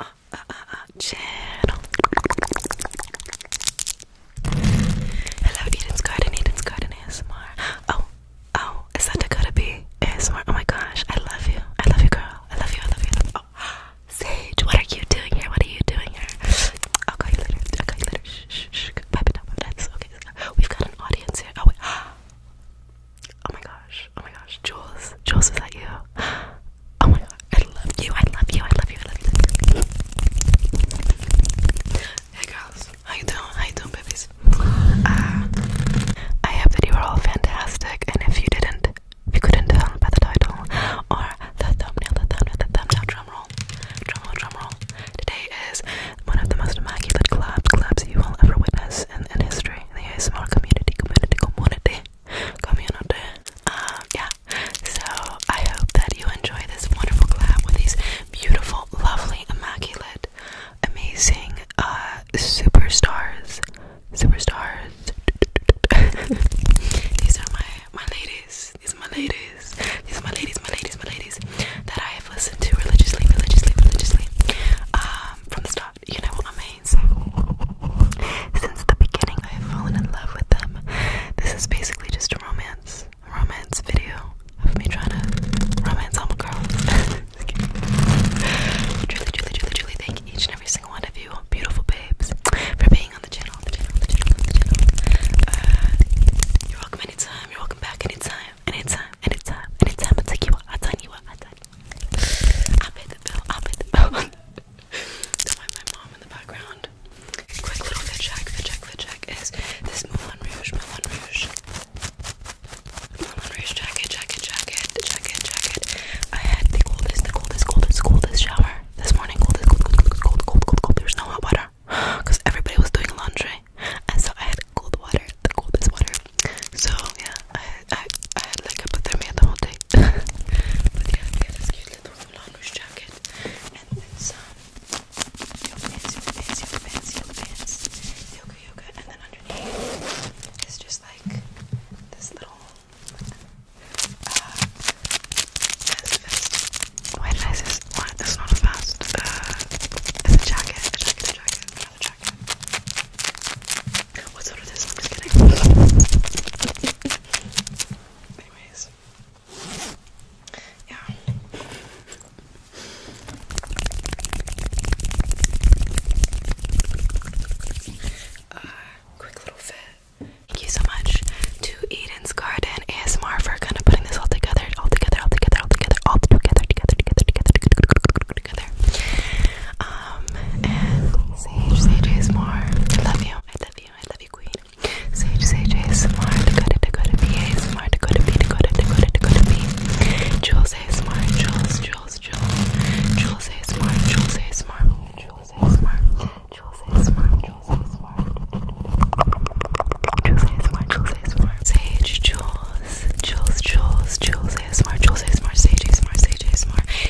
uh, uh, uh, channel. Hello, Eden's Garden, Eden's Garden ASMR. Oh, oh, is that Dakota B? ASMR. Oh my gosh, I love you. I love you, girl. I love you, I love you. I love you. Oh, Sage, what are you doing here? What are you doing here? I'll call you later. I'll call you later. Shh, shh, shh. Pipe it up. That's okay. We've got an audience here. Oh, wait. Oh my gosh. Oh my gosh. Jules. Jules, is that you? Oh my god, I love you, I love you, I love you, I love you. Hey girls, how you doing? How you doing, babies? Uh, I hope that you were all fantastic, and if you didn't, if you couldn't tell by the title or the thumbnail, the thumbnail, the thumbnail, drum roll, drum roll, drum roll. Today is one of the most immaculate collabs, collabs you will ever witness in, in history, in the ASMR community, community, community community. Um, yeah. So I hope that you enjoy this wonderful collab with these beautiful, lovely, immaculate, amazing uh, superstars. Superstars. these are my my ladies. These are my ladies. These are my ladies. My ladies. My ladies. That I have listened to religiously, religiously, religiously. Um, from the start. You know what I mean. Since the beginning, I have fallen in love with them. This is basically just a romance, romance video of me trying to romance all my girls. truly, truly, truly, truly thank each and every single one of you, beautiful babes, for being on the channel, the channel, the channel, the channel. Uh, you're welcome anytime, you're welcome back anytime, anytime, anytime, anytime. I'll take you out, I'll tell you what, I'll pay the bill, I'll pay the bill. do my mom in the background. Quick little fit check, fit check, fit check is this Moulin Rouge, Moulin Rouge. Moulin Rouge jacket, jacket, jacket, jacket, jacket. I had the coldest, the coldest, coldest, coldest shower this morning. Coldest, cold, cold, cold, cold, There's no hot water because everybody was doing laundry. And so I had cold water, the coldest water. So yeah, I, I, I had like a hypothermia the whole day. but yeah, that's cute through jacket and then some yoga pants, yoga yoga yoga yoga, yoga, and then underneath is just like this little uh, vest, Why did I It's not a vest. Uh, it's a jacket, a jacket, jacket, jacket. What sort this? anyways, yeah. Uh, quick little fit. Thank you so much to Eden's Garden ASMR for kind of putting this all together, all together, all together, all together, all together, together, together, together, together, Um, and Sage, Sage ASMR, I love you, I love you you. I love you, Queen. Sage, Sage, ASMR, Dakota, Dakota, B, ASMR, Dakota, B, Dakota, Dakota, Dakota, B. Jules, ASMR, Jules, Jules, Jules. Jules, ASMR, Jules, ASMR, Jules, ASMR, Jules, ASMR, Jules, ASMR. Jules, ASMR, Jules, ASMR. Sage, Jules, Jules, Jules, Jules, ASMR, Jules, ASMR, Sage, ASMR, Sage, ASMR.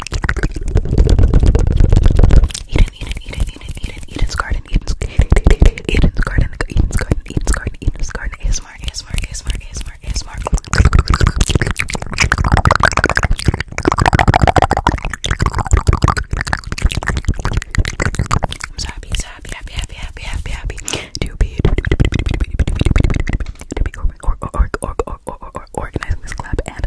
Eden, Eden, Eden, Eden, Eden, Eden's garden, Eden's Eden, Eden, Eden's garden, Eden's garden, Eden's garden, Eden's garden, ASMR, ASMR, ASMR, ASMR, ASMR. I'm so happy, so happy, happy, happy, happy, happy, happy to be to be organizing this club and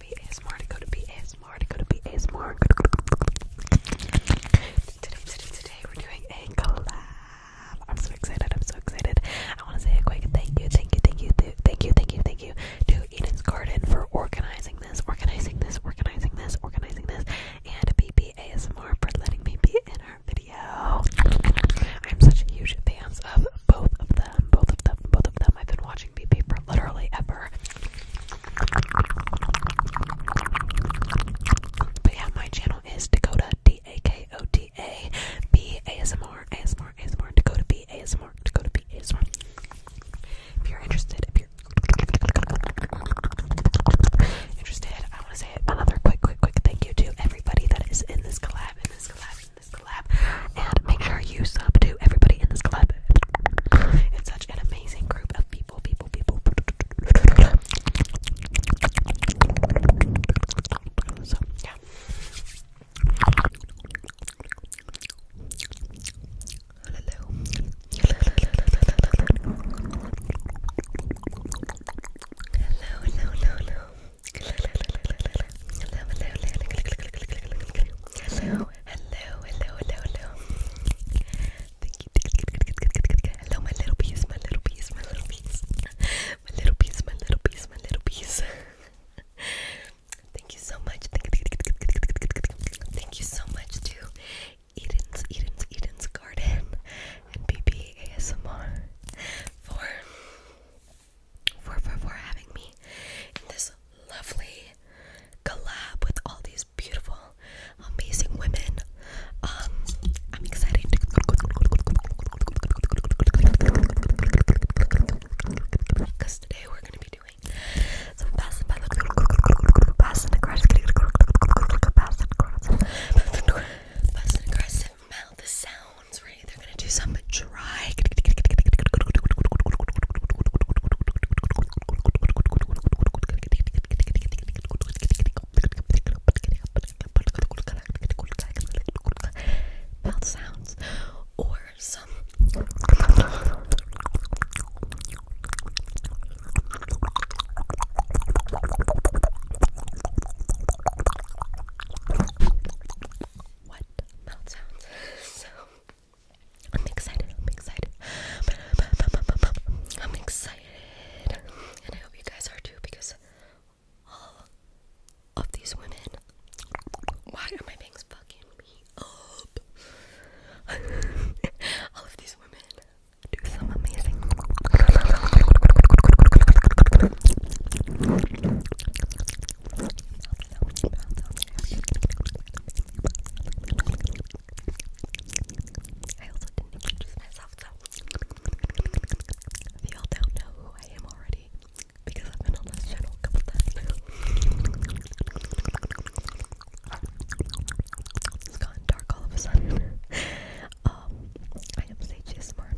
to be ASMR to go to be ASMR to go to be ASMR. Today, today, today, we're doing a collab. I'm so excited. I'm so excited. I want to say a quick thank you, thank you, thank you, thank you, thank you, thank you to Eden's Garden for organizing this, organizing this, organizing this, organizing this, and BP ASMR for letting me be in her video. I'm such a huge fan of both of them, both of them, both of them. I've been watching watching for literally ever. But yeah, my channel is Dakota D A K O T A B ASMR ASMR ASMR Dakota B ASMR Dakota B ASMR. If you're interested, if you're interested, I want to say another quick, quick, quick thank you to everybody that is in this collab, in this collab. And make sure you sub to everybody in this collab. It's such an amazing group of people, people, people. So, yeah. Hello. Hello, hello, hello, hello. Hello, hello, hello, hello. Hello, hello, hello, hello, hello. Thank you. Hello, my little piece, my little piece, my little piece. My little piece, my little piece, my little piece. Thank you so much. Thank you so much to Eden's, Eden's, Eden's Garden and BB for for, for, having me in this lovely collab with all these beautiful, amazing women. Um, I'm excited. Because today we're going to be doing some fast and aggressive, fast and aggressive, fast and aggressive mouth sounds ready. They're gonna do some dry. Mouth sounds or some what mouth sounds. So I'm excited. I'm excited. I'm excited. And I hope you guys are too because all of these women. Why are my bangs fucking me up? all of these women do some amazing. I y'all don't know who I am already, because I've been on this channel a couple times dark all of a sudden. um, I am Sage Smart.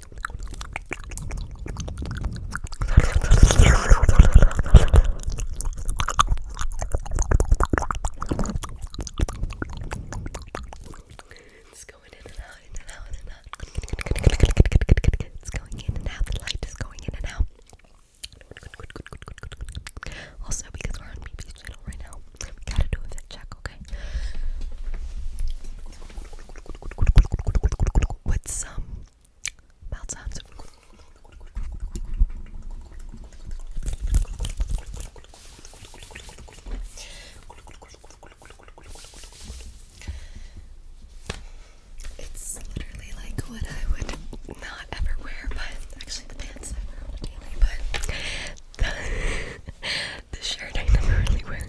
It's going in and out, in and out, in and out. It's going in and out. The light is going in and out. Also, because we're on BB's channel right now, we gotta do a fit check, okay? With some it's literally like what I would not ever wear, but actually the pants I wear daily, but the shirt I never really wear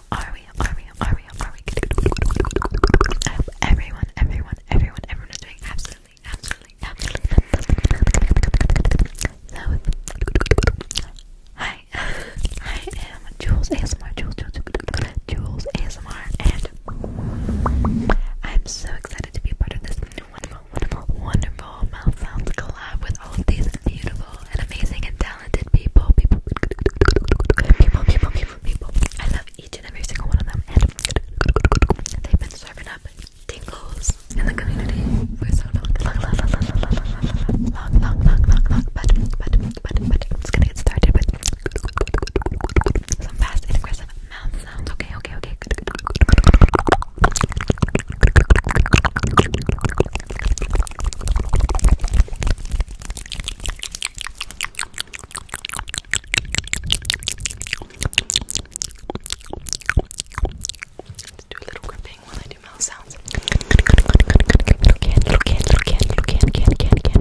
are we? How are we? How are we? How are we? I um, everyone, everyone, everyone, everyone is doing absolutely, absolutely, absolutely. So, hi, I am um, Jules ASMR, Jules, Jules, Jules ASMR, and I'm so excited to be part of this wonderful, wonderful, wonderful mouth sounds collab with all of these beautiful and amazing people, people, people, people, people, people. I love each and every single one of them, and they've been serving up tingles in the community for so long, long, long, long, long, long, long, long, long, long, long, But, but, but, but, I'm gonna get started with some fast and aggressive mouth sounds. Okay, okay, okay. Let's do a little gripping while I do mouth sounds. Little can, little can, little can, little can, can, can, can.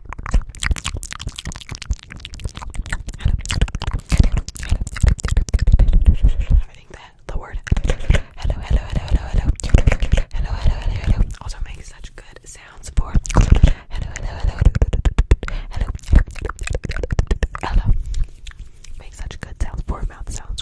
I think that the word hello, hello, hello, hello, hello, hello, hello, hello, hello also makes such good sounds for hello, hello, hello, hello, hello, makes such good sounds for mouth sounds.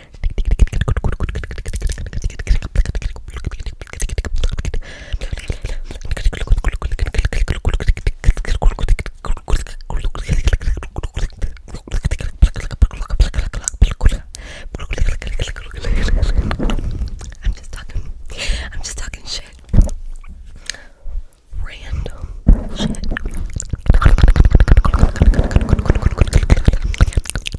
I'm just talking. I'm just talking shit. Random shit.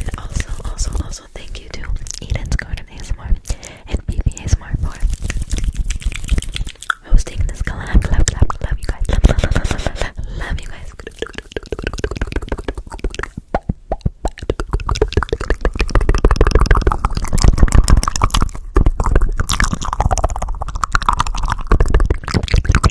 And also, also, also thank you to Eden's Garden ASMR and BB ASMR for hosting this collab. Love, love, you guys. love you guys.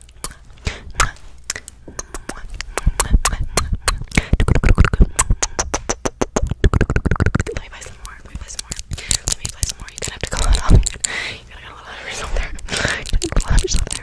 Let me buy some more. Let me buy some more. Let me buy some more. You're gonna have to go a lot off. You're gonna get a lot out of yourself there. You're gonna get a lot out of yourself there.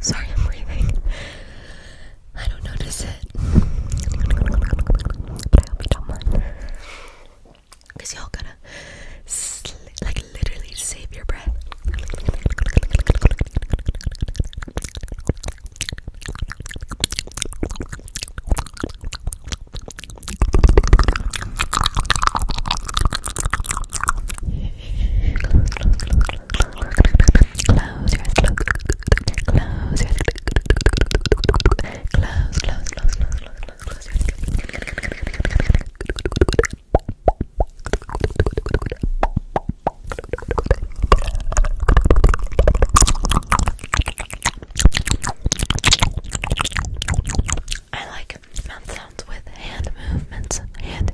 Sorry, I'm breathing. I don't notice it. But I hope you do y'all gotta, like, literally save your breath. Close I like mouth sounds with hand movements, hand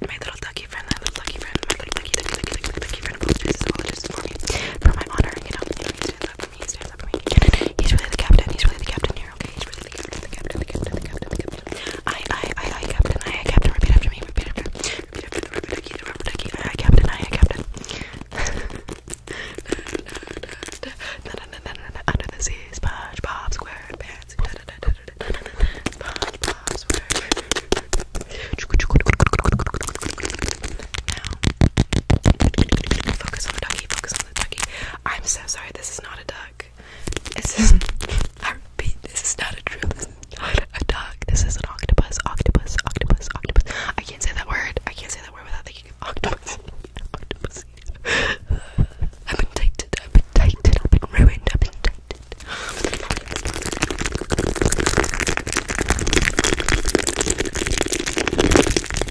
My little ducky friend, my little ducky friend, my little ducky, ducky, ducky, ducky, ducky friend apologizes, apologizes for me, for my honor, you know, you know, you did that for He's really the captain, he's really the captain here, okay? He's really the captain, the captain, the captain, the captain, the captain. I, I, I, captain, I, I, captain, repeat after me, repeat after me. Repeat repeat after me, repeat after me, I, I, captain, I, I, captain. Under the sea, SpongeBob SquarePants. SpongeBob SquarePants. Now, focus on the ducky, focus on the ducky. I'm so sorry, this is is not a duck. This is, I this is not a drill. This is not a duck. This is an octopus. Octopus. Octopus. Octopus. I can't say that word. I can't say that word without thinking of octopus. octopus. I've been tainted. I've been tainted. I've been ruined. I've been tainted.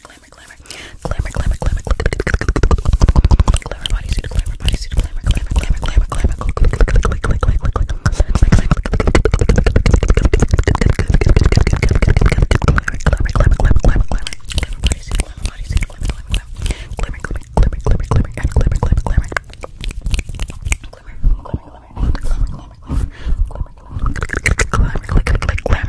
glamour, glamour, glamour, glamour, glamour, glamour, glamour, bodysuit, glamour, bodysuit, glamour, glamour, glamour, glamour, glamour, glamour, glamour, glamour, glamour, glamour, Glamour, click, click, click, glamour, click, click, glamour.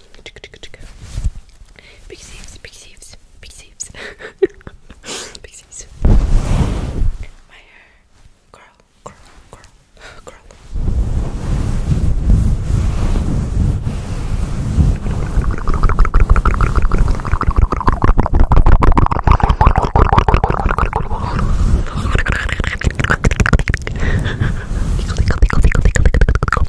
Big sleeves, big sleeves, big sleeves. big saves. My hair. Curl, curl, curl, curl.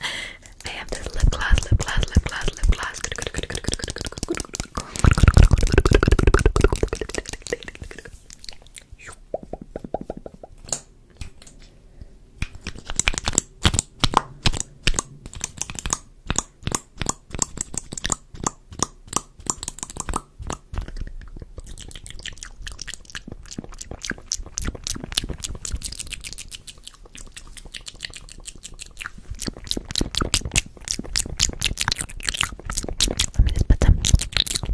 I have this lip gloss, lip gloss, lip gloss, lip gloss. Let me just put some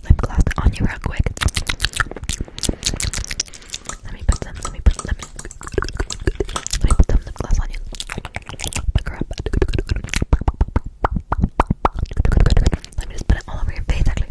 lip gloss on you real quick. Let me put some, let me put, let me, let me put some lip gloss on you. Pick her up. Let me just put it all over your face, actually.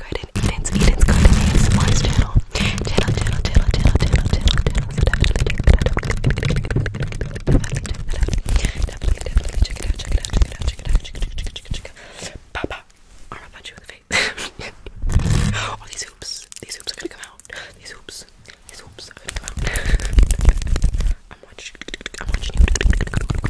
Garden, Eden's, Eden's Garden ASMR's channel. Channel, channel, channel, channel, channel, channel, channel. So definitely check that out. Definitely check that out. Definitely, definitely check it out, check it out, check it out, check it out, check it out, check it out, check it out, check it out. Pop, pop. I'm gonna punch you in the face. All oh, these hoops, these hoops are gonna come out. These hoops, these hoops are gonna come out. I'm watching, I'm watching you.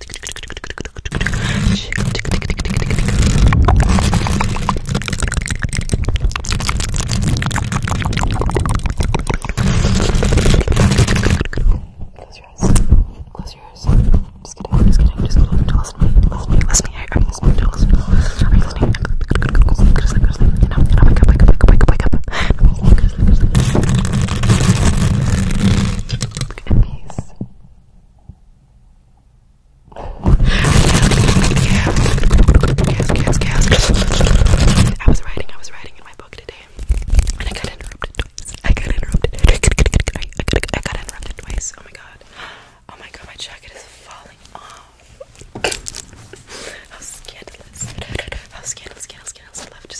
Close your eyes. Close your eyes. Just kidding. Just kidding. Just kidding. Just kidding. Listen to me. Listen to me. Are you listening? Are you listening? Are you listening? Just like, just like, you know, you know, wake up, wake up, wake up, wake up, wake up. Just like, just like, just like. Look at peace. I was writing, I was writing in my book today, and I got interrupted I got interrupted. I got interrupted twice. Oh my god. Oh my god, my jacket is falling off. How scandalous. How scandalous, scandalous. I love just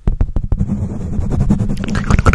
Oh my god, oh my god.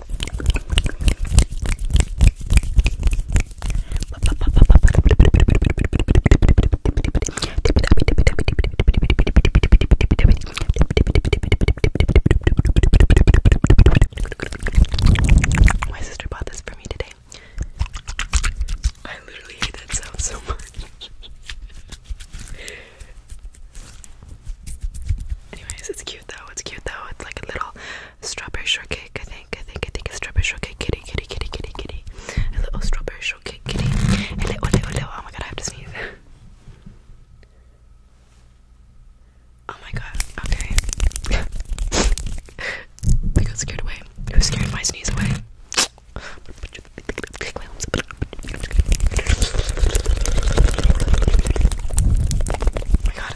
My sister bought this for me today. I literally hate that sound so much. Anyways, it's cute though. It's cute though. It's like a little strawberry shortcake. I think. I think. I think A strawberry shortcake. Kitty, kitty, kitty, kitty, kitty. A little strawberry shortcake. Kitty. A little, little, little. Oh my god, I have to sneeze. Oh my god. Okay. I got scared away. I was scared my sneeze away. Oh my god,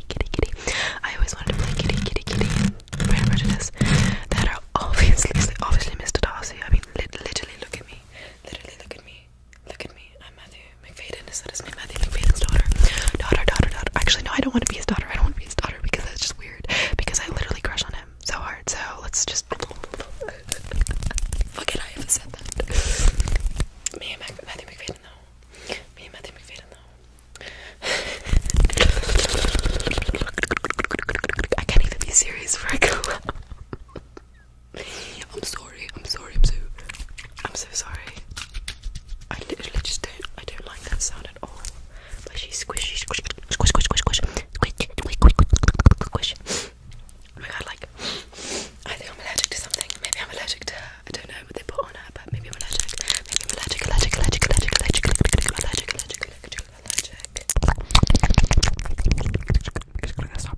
kitty, kitty, I always wanted to play kitty, kitty, kitty, Pride and That are obviously, obviously Mr. Darcy. I mean, literally look at me. Literally look at me. Look at me. I'm Matthew McFadden. Is that Matthew McFadden's daughter. Daughter, daughter, daughter. Actually, no, I don't want to be his daughter. I don't want to be his daughter because that's just weird. Because I literally crush on him so hard. So let's just. Fuck it, I haven't said that. Me and Matthew McFadden, though não. Minha mãe tem que ver, não. I can't even be serious for I go I'm sorry, I'm sorry, I'm so I'm so sorry. I literally just don't I don't like that sound at all. But she's squishy squish squish squish squish squish squish squish squish squish. Oh my god like I think I'm allergic to something. Maybe I'm allergic to I don't know what they put on her, but maybe I'm allergic. Maybe I'm allergic, allergic, allergic, allergic, allergic, allergic, allergic, allergic, allergic, allergic. Stop. Stop.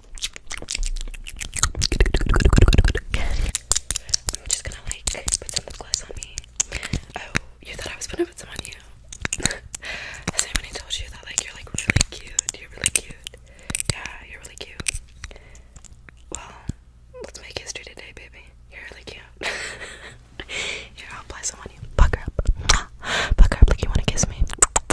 I'm just gonna like put some lip gloss on me. Oh, you thought I was gonna put some on you? Has anybody told you that like you're like really cute? You're really cute. Yeah, you're really cute. Well, let's make history today, baby. You're really cute. Here, I'll apply some on you. Buck her up. Buck her up like you wanna kiss me.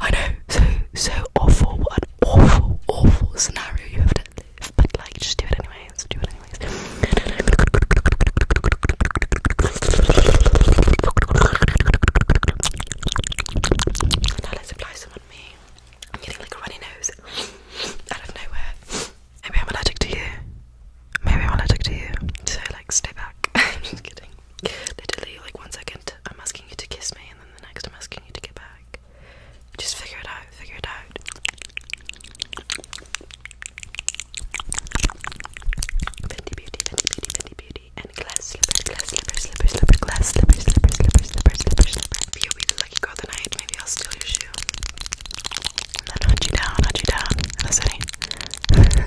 I know, so so awful. What an awful, awful scenario you have to live, but like, just do it anyways. Do it anyways. Now let's apply some on me. I'm getting like a runny nose out of nowhere. Maybe I'm allergic to you. Maybe I'm allergic to you. So like, stay back. I'm just kidding. Literally, like once i I'm asking you to kiss me, and then the next I'm asking you to get back. Just figure it out, figure it out. Fenty Beauty, Fenty Beauty, Fenty Beauty, and glass slipper, glass slipper, slipper, slipper, glass slipper, slipper, slipper, slipper, If you'll be the lucky girl tonight, maybe I'll steal your shoe. then hunt you down, hunt you down. Listen.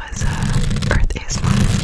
uh, Earth ASMR. Anyways.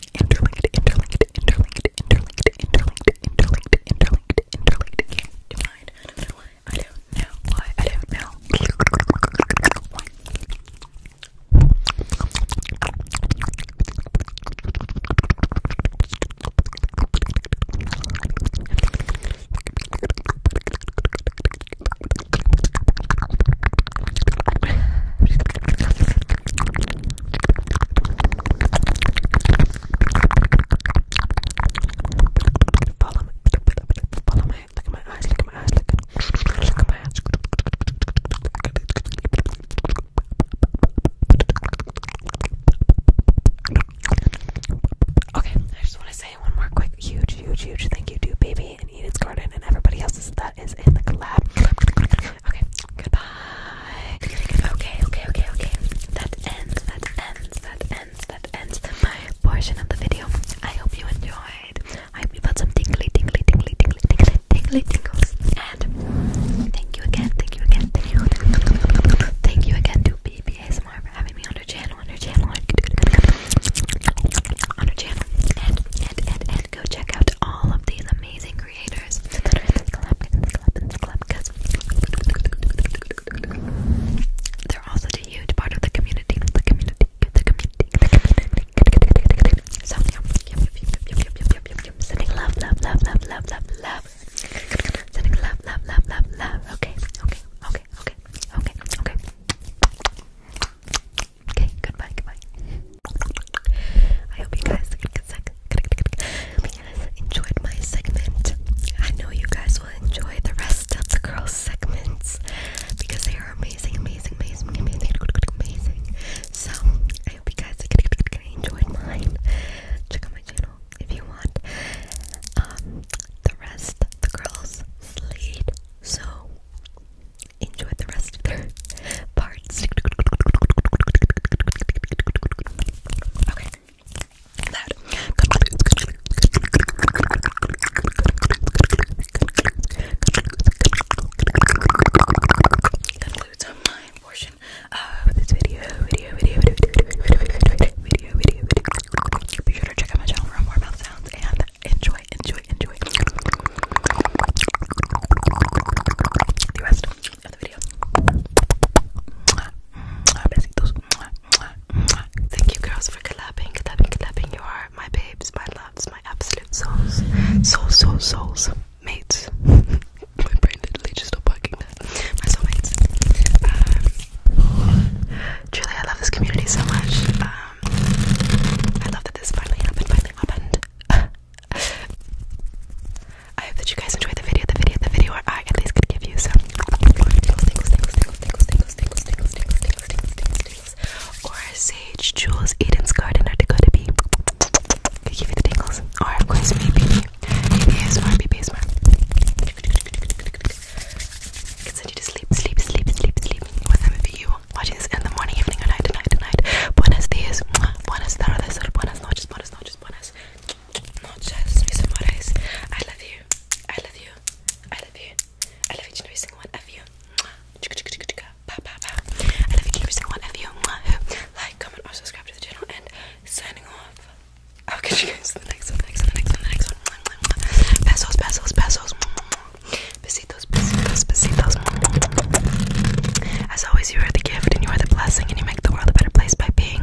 interlinked, interlinked, interlinked, interlinked, interlinked, interlinked, interlinked, interlinked. Can't divide. I don't know why. I don't know why. I don't know why. Okay, I just want to say one more quick huge, huge, huge thank you to Baby and Eden's Garden and everybody else that is in the collab. Okay, goodbye. Okay, okay, okay, okay. That ends, that ends, that ends, that ends my portion of the video. I hope you enjoyed. I hope you got some tingly, tingly, tingly, tingly, tingly, tingly tingles. And thank you again, thank you again, thank you. Thank you again to BBASMR for having me on her channel, on her channel, on her channel. And, and, and, and go check out all of these amazing creators they're also a huge part of the community, Sending love, love, love, love, love, love, Sending love, love, love, love, love. Okay, okay, okay, okay, okay, okay. Okay, goodbye, goodbye. I hope you guys get sick enjoyed my segment. I know you guys will enjoy the rest of the girls' segments because they are amazing, amazing, amazing, amazing, amazing. So I hope you guys enjoyed mine. Check out my channel if you want. Um, the rest the girls slayed, so enjoy the rest of their parts. Okay, that concludes, my portion of this video. Video, video, video, video, video, video, video, video, video. Be check out my channel for more mouth sounds and enjoy, enjoy, enjoy the rest. Otro video. Besitos. Thank you girls for collabing, collabing, collabing. You are my babes, my loves, my absolute souls. Souls, souls, souls. Mates. my brain literally just stopped working there. My soulmates. Um, truly, I love this community so much. Um, I love that this finally happened, finally happened. I hope that you guys enjoy the video, the video, the video where I at least could give you some or sage, jewels, Eden's garden, or Dakota Bee. Could give you the tingles, or of course maybe ASMR, maybe ASMR. Could send you to sleep, sleep, sleep, sleep, sleep. With you watching this in the morning, evening, or night, tonight, tonight. Buenos dias, buenas tardes, buenas noches, buenas noches, buenas. No, just Mr. Moraes. I love you. I love you. I love you. I love each and every single one of you. Ba, ba, ba. I love each and every single one of you. Like, comment, or subscribe to the channel. And signing off. I'll catch you guys in the next one. The next one. The next one. The next one. Pesos, pesos, pesos. Besitos, besitos, besitos. As always, you are the gift and you are the blessing, and you make the world a better place by being